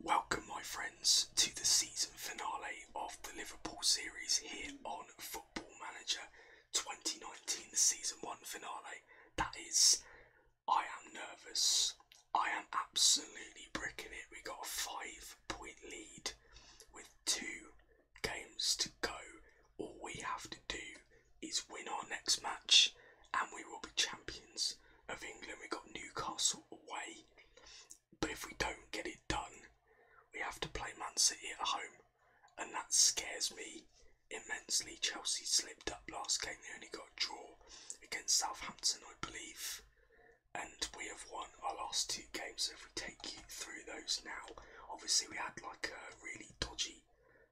Welcome, my friends, to the season finale of the Liverpool series here on Football Manager 2019, the season one finale. That is, I am nervous. I am absolutely bricking it. We got a five point lead with two games to go. All we have to do is win our next match and we will be champions of England. We've got Newcastle away. But if we don't get it done, we have to play Man City at home. And that scares me immensely. Chelsea slipped up last game. They only got a draw against Southampton, I believe. And we have won our last two games. So if we take you through those now, obviously we had like a really dodgy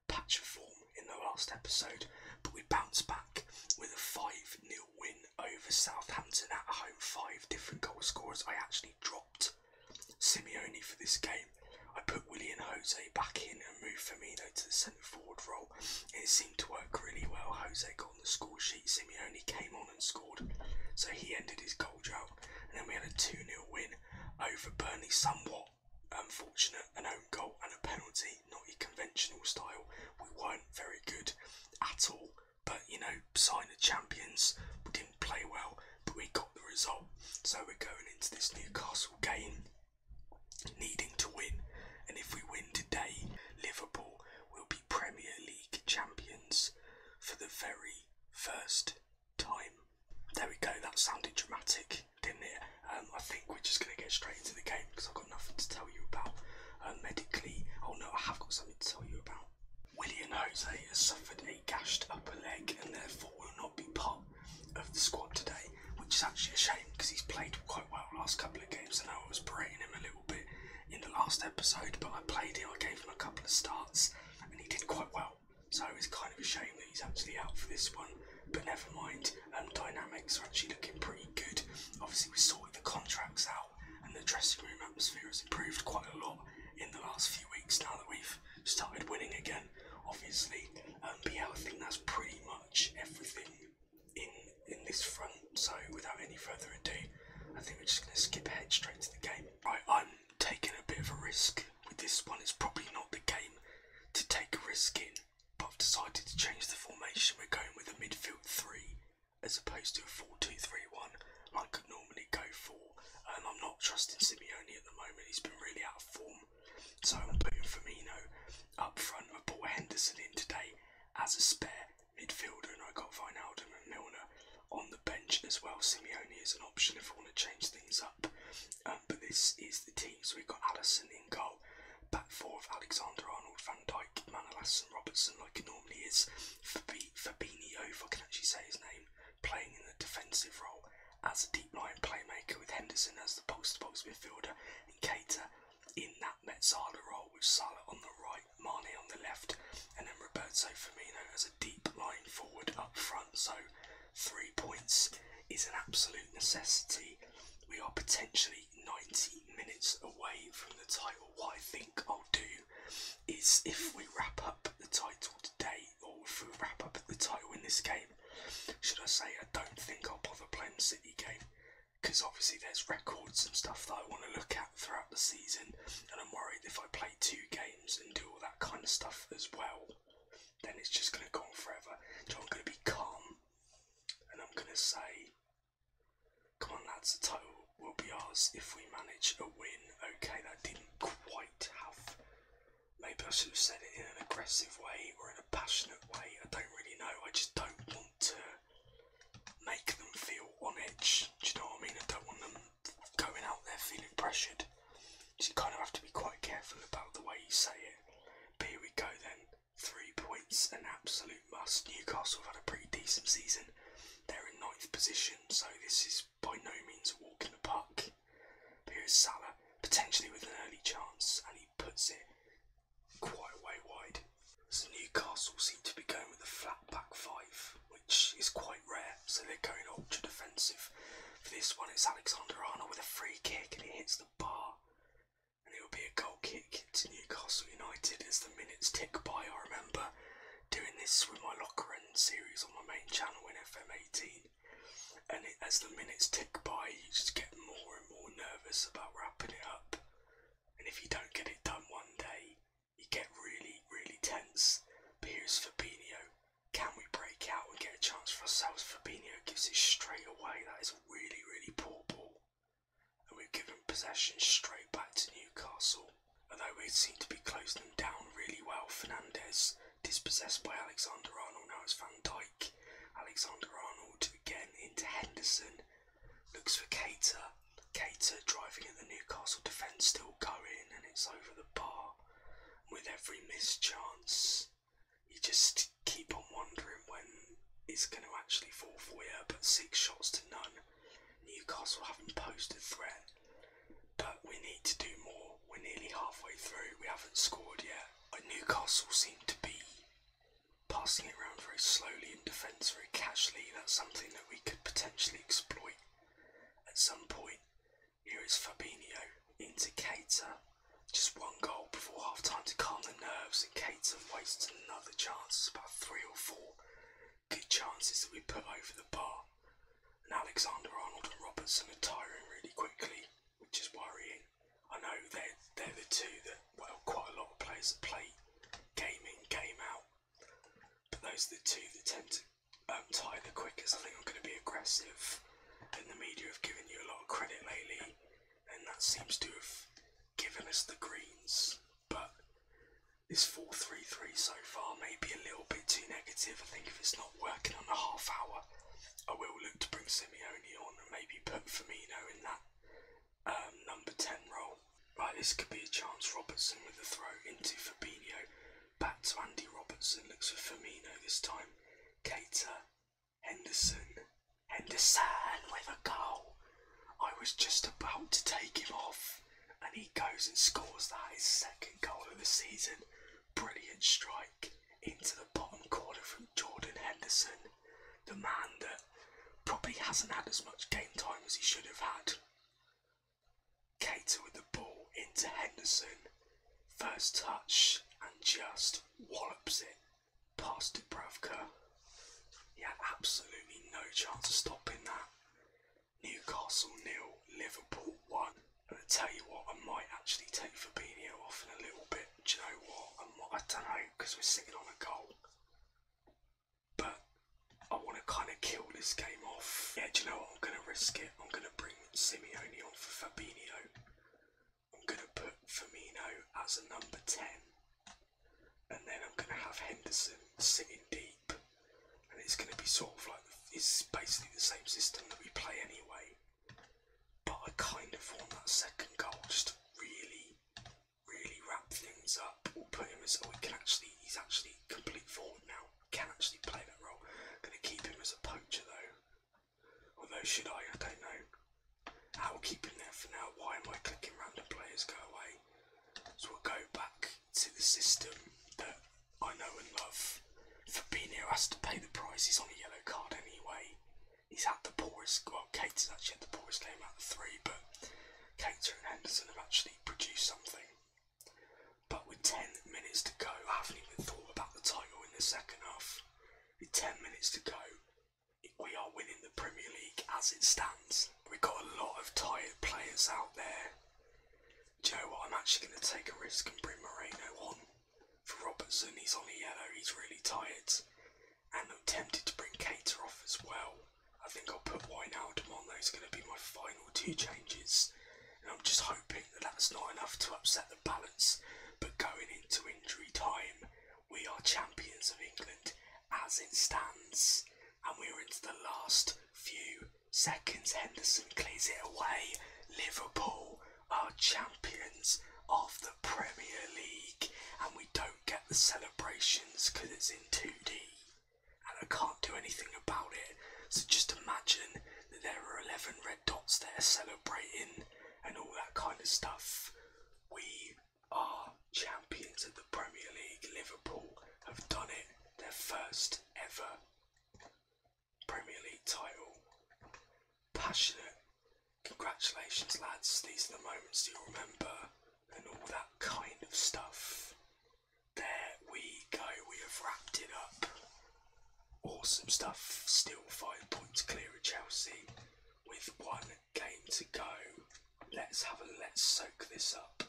patch of form in the last episode, but we bounced back with a 5 0 win over Southampton at home. Five different goal scorers. I actually dropped Simeone for this game. I put Willie and Jose back in and moved Firmino to the centre forward role. It seemed to work really well. Jose got on the score sheet. Simeone came on and scored. So he ended his goal drought. And then we had a 2 0 win over Burnley, somewhat unfortunate. And An goal and a penalty, not your conventional style. We weren't very good at all, but you know, sign of champions. We didn't play well, but we got the result. So we're going into this Newcastle game needing to win, and if we win today, Liverpool will be Premier League champions for the very first time. There we go, that sounded dramatic, didn't it? Um, I think we're just going to get straight into the game because I've got nothing to tell you about um, medically. Oh no, I have got something to tell you about. William Jose has suffered a gashed upper leg and therefore will not be part of the squad today, which is actually a shame because he's played quite well last couple of games and I was berating him a little bit in the last episode, but I played him, I gave him a couple of starts and he did quite well. So it's kind of a shame that he's actually out for this one. But never mind, um, dynamics are actually looking pretty good. Obviously, we sorted the contracts out, and the dressing room atmosphere has improved quite a lot in the last few weeks now that we've started winning again, obviously. Um, I think that's pretty much everything in, in this front. So, without any further ado, I think we're just going to skip ahead straight to the game. Right, I'm taking a bit of a risk with this one. It's probably not the game to take a risk in. I've decided to change the formation. We're going with a midfield three as opposed to a four-two-three-one like I could normally go for. And um, I'm not trusting Simeone at the moment, he's been really out of form. So I'm putting Firmino up front. I bought Henderson in today as a spare midfielder, and I got Vinaldum and Milner on the bench as well. Simeone is an option if we want to change things up. Um, but this is the team. So we've got Allison in goal. Back four of Alexander Arnold, Van Dyke, Manolas, and Robertson, like he normally is. Fabi- Fabinho, if I can actually say his name, playing in the defensive role as a deep line playmaker with Henderson as the post to box midfielder and Cater in that Metzala role with Salah on the right, Mane on the left, and then Roberto Firmino as a deep line forward up front. So three points is an absolute necessity. We are potentially 90 minutes away from the title. What I think I'll do is if we wrap up the title today, or if we wrap up the title in this game, should I say I don't think I'll bother playing City game because obviously there's records and stuff that I want to look at throughout the season, and I'm worried if I play two games and do all that kind of stuff as well, then it's just going to go on forever. So I'm going to be calm and I'm going to say, come on lads, the title will be ours if we manage a win. Okay, that didn't quite have, maybe I should have said it in an aggressive way or in a passionate way, I don't really know, I just don't want to make them feel on edge, do you know what I mean? I don't want them going out there feeling pressured. So you kind of have to be quite careful about the way you say it. But here we go then. Three points, an absolute must. Newcastle have had a pretty decent season. They're in ninth position, so this is by no means a walk the park. here's Salah, potentially with an early chance, and he puts it quite a way wide. So Newcastle seem to be going with a flat back five, which is quite rare, so they're going ultra defensive. For this one, it's Alexander Arnold with a free kick, and he hits the bar and it will be a goal kick to Newcastle United as the minutes tick by. I remember doing this with my locker and series on my main channel in FM18, and as the minutes tick by, you just get more and more nervous about wrapping it up. And if you don't get it done one day, you get really, really tense. But here's Fabinho. Can we break out and get a chance for ourselves? Fabinho gives it straight away. That is really, really poor ball. And we've given possession straight back to Newcastle. Although we seem to be closing them down really well, Fernandez dispossessed by Alexander Arnold. Now it's Van Dijk. Alexander Arnold again into Henderson. Looks for Cater. Cater driving at the Newcastle defence, still going, and it's over the bar. With every mischance you just keep on wondering when it's going to actually fall for you. But six shots to none. Newcastle haven't posed a threat, but we need to do more. We're nearly halfway through. We haven't scored yet. Uh, Newcastle seem to be passing it around very slowly in defence, very casually. That's something that we could potentially exploit at some point. Here is Fabinho into Cater. Just one goal before half time to calm the nerves, and Cater wastes another chance. It's about three or four good chances that we put over the bar. And Alexander Arnold and Robertson are tiring really quickly, which is worrying. I know they're, they're the two that, well, quite a lot of players have played game in, game out. But those are the two that tend to um, tire the quickest. I think I'm going to be aggressive then the media have given you a lot of credit lately, and that seems to have given us the greens. But this 4-3-3 so far may be a little bit too negative. I think if it's not working on a half hour, I will look to bring Simeone on and maybe put Firmino in that um, number 10 role. Right, this could be a chance. Robertson with a throw into Fabinho. Back to Andy Robertson. Looks for Firmino this time. Cater Henderson. Henderson with a goal. I was just about to take him off, and he goes and scores that his second goal of the season. Brilliant strike into the bottom corner from Jordan Henderson, the man that probably hasn't had as much game time as he should have had. Cater with the ball into Henderson, First touch and just wallops it past Dubravka. He had absolutely no chance of stopping that. Newcastle nil, Liverpool one. And I tell you what, I might actually take Fabinho off in a little bit. Do you know what? I, don't know because we're sitting on a goal, but I want to kind of kill this game off. Yeah, do you know what? I'm going to risk it. I'm going to bring Simeone on for Fabinho. I'm going to put Firmino as a number 10. And then I'm going to have Henderson sitting deep. And it's going to be sort of like, it's basically the same system that we play anyway. But I kind of want that second goal just to really, really wrap things up. We'll put him as, oh, can actually, he's actually complete forward now. Can actually play that role. i going to keep him as a poacher though. Although, should I? I don't know. I will keep him there for now. Why am I clicking random players go away? So we'll go back to the system that I know and love. Fabinho has to pay the price. He's on a yellow card anyway. He's had the poorest, well, Cater's actually had the poorest game out of three, but Cater and Henderson have actually produced something. But with 10 minutes to go, I haven't even thought about the title in the second half. With 10 minutes to go, we are winning the Premier League as it stands. We've got a lot of tired players out there. Joe, I'm actually going to take a risk and bring Moreno on. For Robertson, he's on a yellow, he's really tired. And I'm tempted to bring Cater off as well. I think I'll put Wijnaldum on, those are going to be my final two changes. I'm just hoping that that's not enough to upset the balance. But going into injury time, we are champions of England as it stands, and we're into the last few seconds. Henderson clears it away. Liverpool are champions of the Premier League, and we don't get the celebrations because it's in 2D, and I can't do anything about it. So just imagine that there are 11 red dots there celebrating and all that kind of stuff. We are champions of the Premier League. Liverpool have done it, their first ever Premier League title. Passionate. Congratulations, lads. These are the moments you'll remember and all that kind of stuff. There we go, we have wrapped it up. Awesome stuff. Still five points clear at Chelsea with one game to go. Let's have a let's soak this up.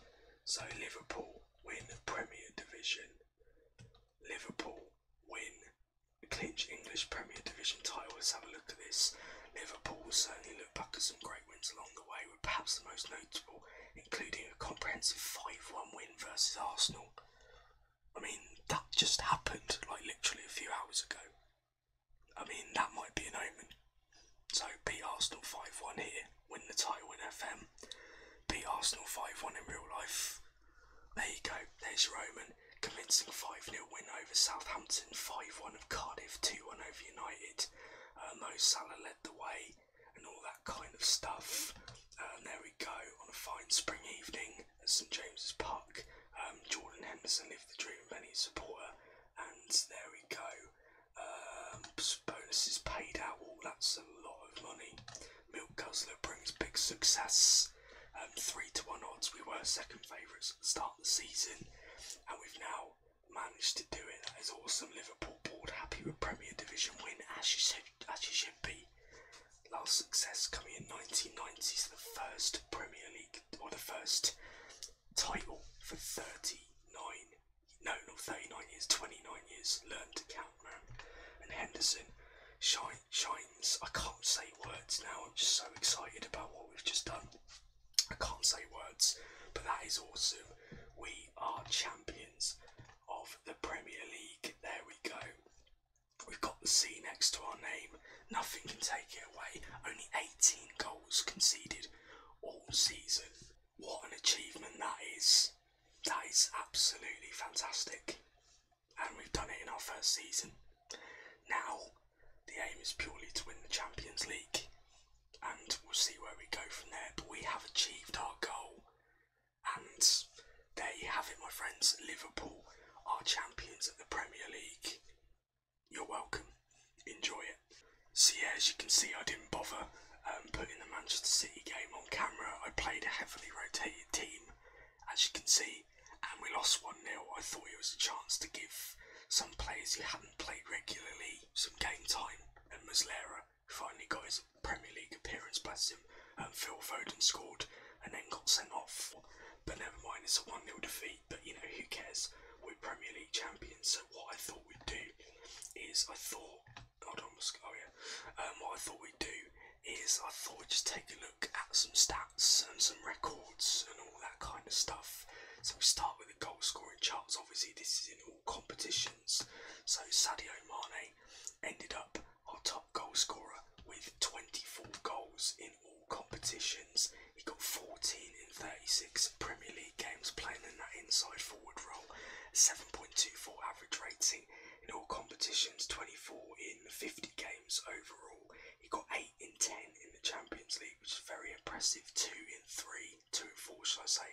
So Liverpool win Premier Division. Liverpool win clinch English Premier Division title. Let's have a look at this. Liverpool will certainly look back at some great wins along the way, perhaps the most notable including a comprehensive 5-1 win versus Arsenal. I mean, that just happened like literally a few hours ago. I mean, that might be an omen. So, beat Arsenal 5 1 here, win the title in FM, beat Arsenal 5 1 in real life. There you go, there's your omen. Convincing 5 0 win over Southampton, 5 1 of Cardiff, 2 1 over United. Uh, Mo Salah led the way and all that kind of stuff. And um, there we go, on a fine spring evening at St James's Park. Um, Jordan Henderson lived the dream of any supporter, and there we go. Um, bonuses paid out, all that's a lot of money. Milk Guzzler brings big success. Um, three to one odds, we were second favourites at the start of the season, and we've now managed to do it. That is awesome. Liverpool board happy with Premier Division win, as you, said, as you should be. Last success coming in 1990s, the first Premier League or the first title for 39. No, not 39 years, 29 years. Learn to count, man. And Henderson shine, shines. I can't say words now. I'm just so excited about what we've just done. I can't say words, but that is awesome. We are champions of the Premier League. There we go. We've got the C next to our name. Nothing can take it away. Only 18 goals conceded all season. What an achievement that is. That is absolutely fantastic. And we've done it in our first season. Now, the aim is purely to win the Champions League. And we'll see where we go from there. But we have achieved our goal. And there you have it, my friends. Liverpool are champions of the Premier League. You're welcome. Enjoy it. So, yeah, as you can see, I didn't bother um, putting the Manchester City game on camera. I played a heavily rotated team, as you can see, and we lost 1 0. I thought it was a chance to give some players who hadn't played regularly some game time, at Muslera finally got his Premier League appearance, bless him. Um, Phil Foden scored and then got sent off. But never mind, it's a 1 0 defeat, but you know, who cares? We're Premier League champions, so what I thought we'd do is I thought. Hold on, oh yeah. Um, what I thought we'd do is I thought we'd just take a look at some stats and some records and all that kind of stuff. So we start with the goal scoring charts. Obviously, this is in all competitions so Sadio Mane ended up our top goal scorer with 24 goals in all competitions. He got 14 in 36 Premier League games playing in that inside forward role, 7.24 average rating in all competitions, 24 in 50 games overall. He got 8 in 10 in the Champions League, which is very impressive, 2 in 3 Two four, should I say,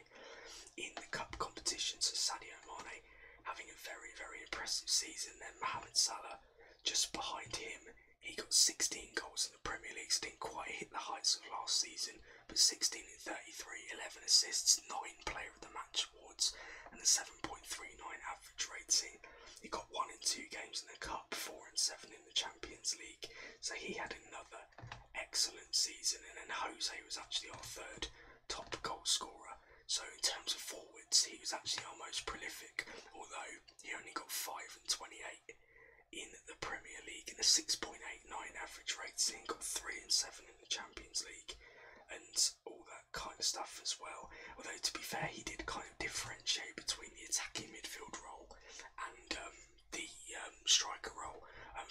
in the cup competitions. Sadio Mane having a very, very impressive season. Then Mohamed Salah just behind him. He got 16 goals in the Premier League, so didn't quite hit the heights of last season, but 16 in 33, 11 assists, 9 Player of the Match awards, and a 7.39 average rating. He got 1 in 2 games in the Cup, 4 and 7 in the Champions League, so he had another excellent season, and then Jose was actually our third top goal scorer. So in terms of forwards, he was actually our most prolific, although he only got five and twenty-eight in the Premier League in a six point eight nine average rating, got three and seven in the Champions League, and all that kind of stuff as well. Although to be fair, he did kind of differentiate between the attacking midfield role and um, the um, striker role. And um,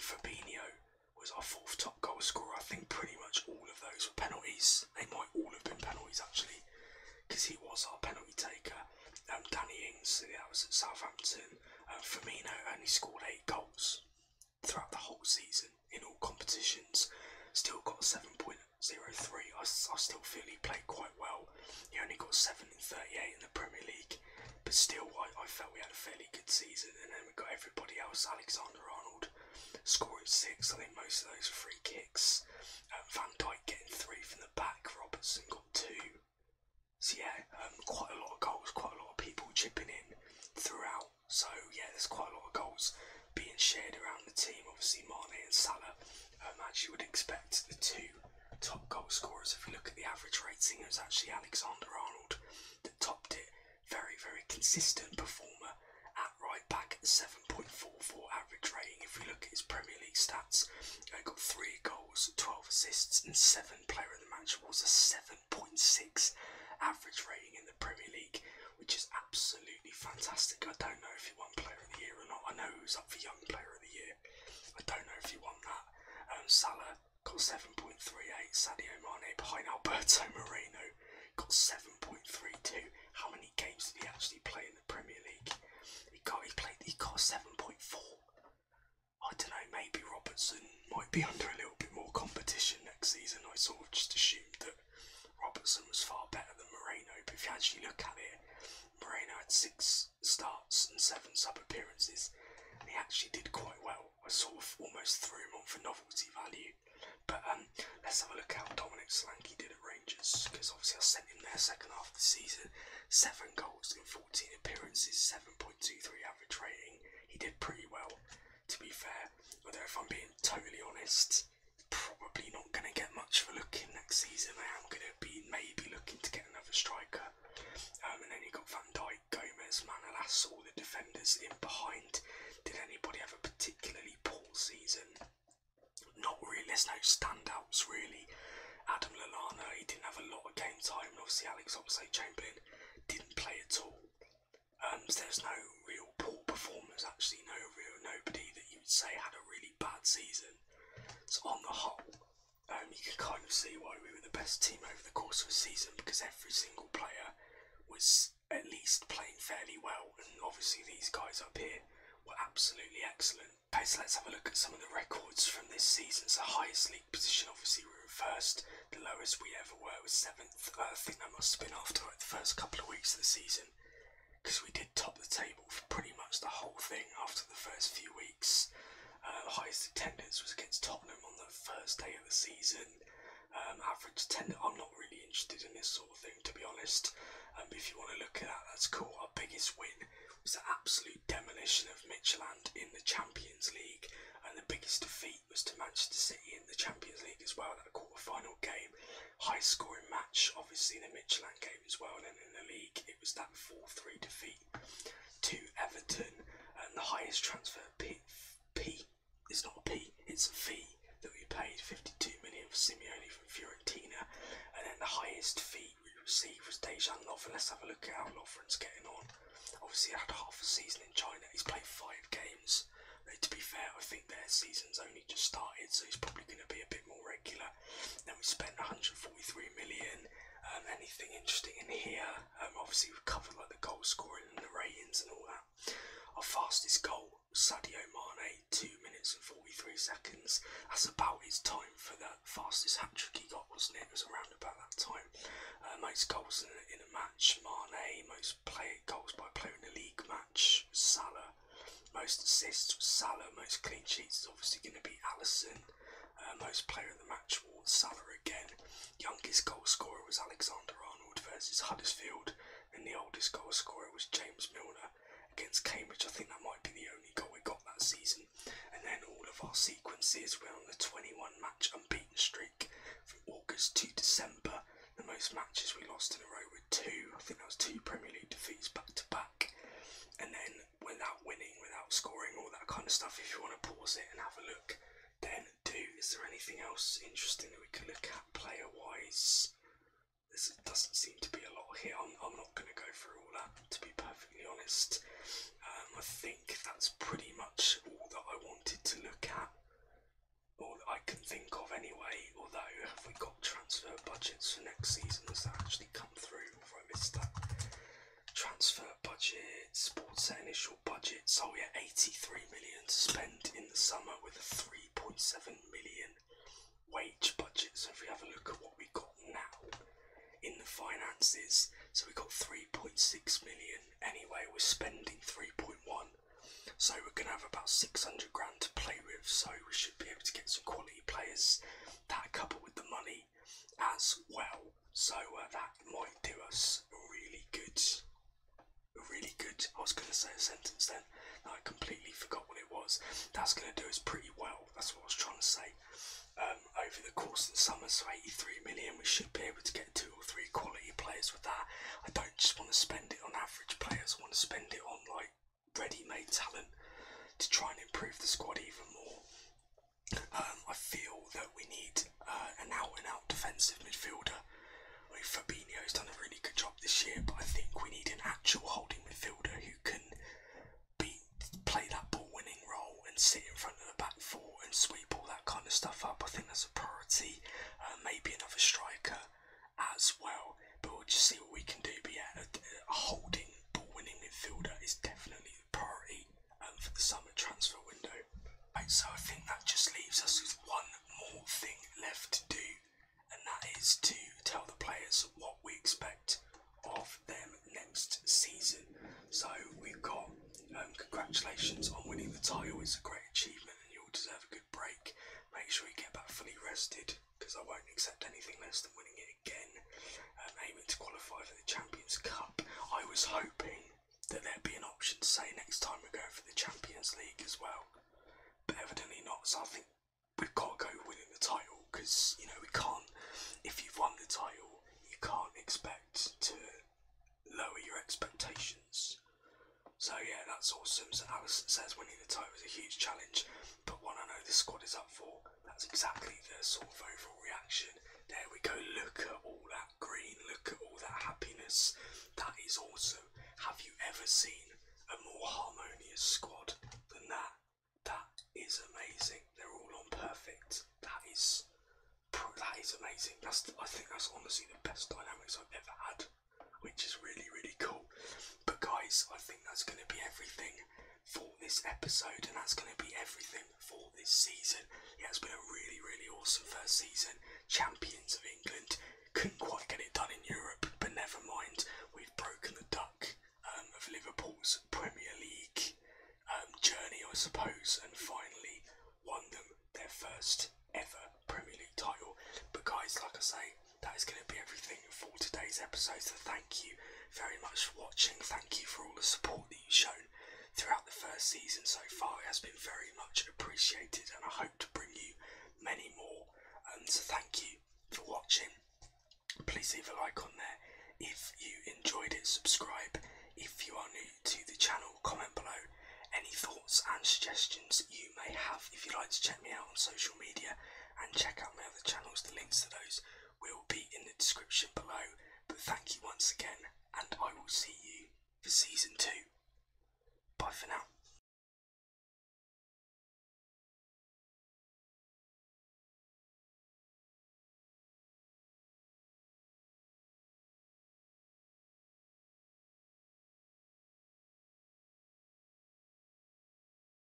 was our fourth top goal scorer. I think pretty much all of those were penalties. They might all have been penalties actually, because he was our penalty taker. Um, Danny Ings, yeah, that was at Southampton. Uh, Firmino only scored eight goals throughout the whole season in all competitions. Still got 7.03. I, I still feel he played quite well. He only got 7 in 38 in the Premier League. But still, I, I felt we had a fairly good season. And then we got everybody else Alexander Arnold scoring six. I think most of those were free kicks. Um, Van Dyke getting three from the back. Robertson got two. So, yeah, um, quite a lot of goals, quite a lot of people chipping in throughout. So, yeah, there's quite a lot of goals being shared around the team. Obviously, Mane and Salah, um, as you would expect, the two top goal scorers. If you look at the average ratings, it was actually Alexander Arnold topped it. Very, very consistent performer at right back, 7.44 average rating. If we look at his Premier League stats, he got three goals, 12 assists, and seven player of the match awards. a 7.6 average rating in the Premier League, which is absolutely fantastic. I don't know if he won player of the year or not. I know he was up for young player of the year. I don't know if he won that. Um, Salah Got 7.38. Sadio Mane behind Alberto Moreno. Got 7.32. How many games did he actually play in the Premier League? He got he played he got 7.4. I don't know, maybe Robertson might be under a little bit more competition next season. I sort of just assumed that Robertson was far better than Moreno, but if you actually look at it, Moreno had six starts and seven sub appearances, and he actually did quite well. I sort of almost threw him on for novelty value. But um, let's have a look at how Dominic Solanke did at Rangers because obviously I sent him there second half of the season. Seven goals in 14 appearances, 7.23 average rating. He did pretty well, to be fair. Although if I'm being totally honest, probably not going to get much for looking next season. I am going to be maybe looking to get another striker. Um, and then you got Van Dijk Gomez, Manolas, all the defenders in behind. Did anybody have a particularly poor season? Not really. There's no standouts really. Adam Lallana, he didn't have a lot of game time, obviously Alex Oxlade-Chamberlain didn't play at all. Um, there's no real poor performers actually. No real nobody that you would say had a really bad season. So on the whole, um, you can kind of see why we were the best team over the course of a season because every single player was at least playing fairly well, and obviously these guys up here were absolutely excellent. Okay, so let's have a look at some of the records from this season. So highest league position, obviously we were first. The lowest we ever were was seventh. Uh, I think that must have been after like, the first couple of weeks of the season because we did top the table for pretty much the whole thing after the first few weeks. Uh, highest attendance was against Tottenham on the first day of the season. Um, average 10, I'm not really interested in this sort of thing to be honest. Um, if you want to look at that, that's cool. Our biggest win was the absolute demolition of Mitchelland in the Champions League, and the biggest defeat was to Manchester City in the Champions League as well. That quarter final game, high scoring match, obviously, the Mitchelland game as well. And then in the league, it was that 4 3 defeat to Everton, and the highest transfer P, P it's not a P, it's a fee that we paid 52 million for Simeone from Fiorentina, and then the highest fee we received was Dejan Lovren. Let's have a look at how Lovren's getting on. Obviously, he had half a season in China. He's played five games. to be fair, I think their season's only just started, so he's probably going to be a bit more regular. Then we spent 143 million um, anything interesting in here? Um, obviously we've covered like the goal scoring and the ratings and all that. Our fastest goal, Sadio Mane, two minutes and forty-three seconds. That's about his time for that fastest hat trick he got, wasn't it? It was around about that time. Uh, most goals in a, match, Mane. Most play goals by playing a league match, Salah. Most assists, Salah. Most clean sheets is obviously going to be Allison most player of the match was Salah again. Youngest goalscorer was Alexander Arnold versus Huddersfield, and the oldest goalscorer was James Milner against Cambridge. I think that might be the only goal we got that season. And then all of our sequences were on the 21 match unbeaten streak from August to December. The most matches we lost in a row were two. I think that was two Premier League defeats back to back. And then without winning, without scoring, all that kind of stuff, if you want to pause it and have a look, then do. Is there anything else interesting that we can look at player wise? This doesn't seem to be a lot here. I'm, not going to go through all that, to be perfectly honest. Um, I think that's pretty much all that I wanted to look at, or that I can think of anyway. Although, have we got transfer budgets for next season? Has that actually come through? Or I missed that? transfer budget, sports and initial budget. So we yeah, 83 million to spend in the summer with a 3.7 million wage budget. So if we have a look at what we got now in the finances, so we got 3.6 million. Anyway, we're spending 3.1. So we're gonna have about 600 grand to play with. So we should be able to get some quality players that couple with the money as well. So uh, that might do us really good. Really good. I was going to say a sentence then. I completely forgot what it was. That's going to do us pretty well. That's what I was trying to say. Um, over the course of the summer, so 83 million, we should be able to get two or three quality players with that. I don't just want to spend it on average players. I want to spend it on like ready-made talent to try and improve the squad even more. Um, I feel that we need uh, an out-and-out defensive midfielder. I mean, Fabinho's done a really good job this year, but I think we need an actual holding midfielder who can be play that ball-winning role and sit in front of the back four and sweep all that kind of stuff up. I think that's a priority. Uh, maybe another striker as well, but we'll just see what we can do. But a holding ball-winning midfielder is definitely priority for the summer transfer window. Right, so I think that just leaves us with one more thing left to do, and that is to tell the players what we expect of them next season. So we've got um, congratulations on winning the title. It's a great achievement, and you all deserve a good break. Make sure you get back fully rested because I won't accept anything less than winning it again um, aiming to qualify for the Champions Cup. I was hoping that there'd be an option to say next time we go for the Champions League as well, but evidently not. So I think we've got to go winning the title because you know we can't. If you've won the title, you can't expect to lower your expectations. So yeah, that's awesome. So Alice says winning the title is a huge challenge, but one I know the squad is up for. That's exactly the sort of overall reaction. There we go. Look at all that green. Look at all that happiness. That is also. Have you ever seen a more harmonious squad than that? That is amazing. They're all on perfect. That is that is amazing. That's I think that's honestly the best dynamics I've ever had, which is really really cool. But guys, I think that's going to be everything for this episode, and that's going to be everything for this season. Yeah, it's been a really, really awesome first season. Champions of England. Couldn't quite get it done in Europe, but never mind. We've broken the duck um, of Liverpool's Premier League um, journey, I suppose, and finally won them their first ever Premier League title. But, guys, like I say, that is going to be everything for today's episode. So thank you very much for watching. Thank you for all the support that you've shown throughout the first season so far. It has been very much appreciated, and I hope to bring you many more. Um, so thank you for watching. Please leave a like on there if you enjoyed it. Subscribe if you are new to the channel. Comment below any thoughts and suggestions you may have. If you'd like to check me out on social media and check out my other channels, the links to those will be in the description below. But thank you once again, and I will see you for season two. Bye for now.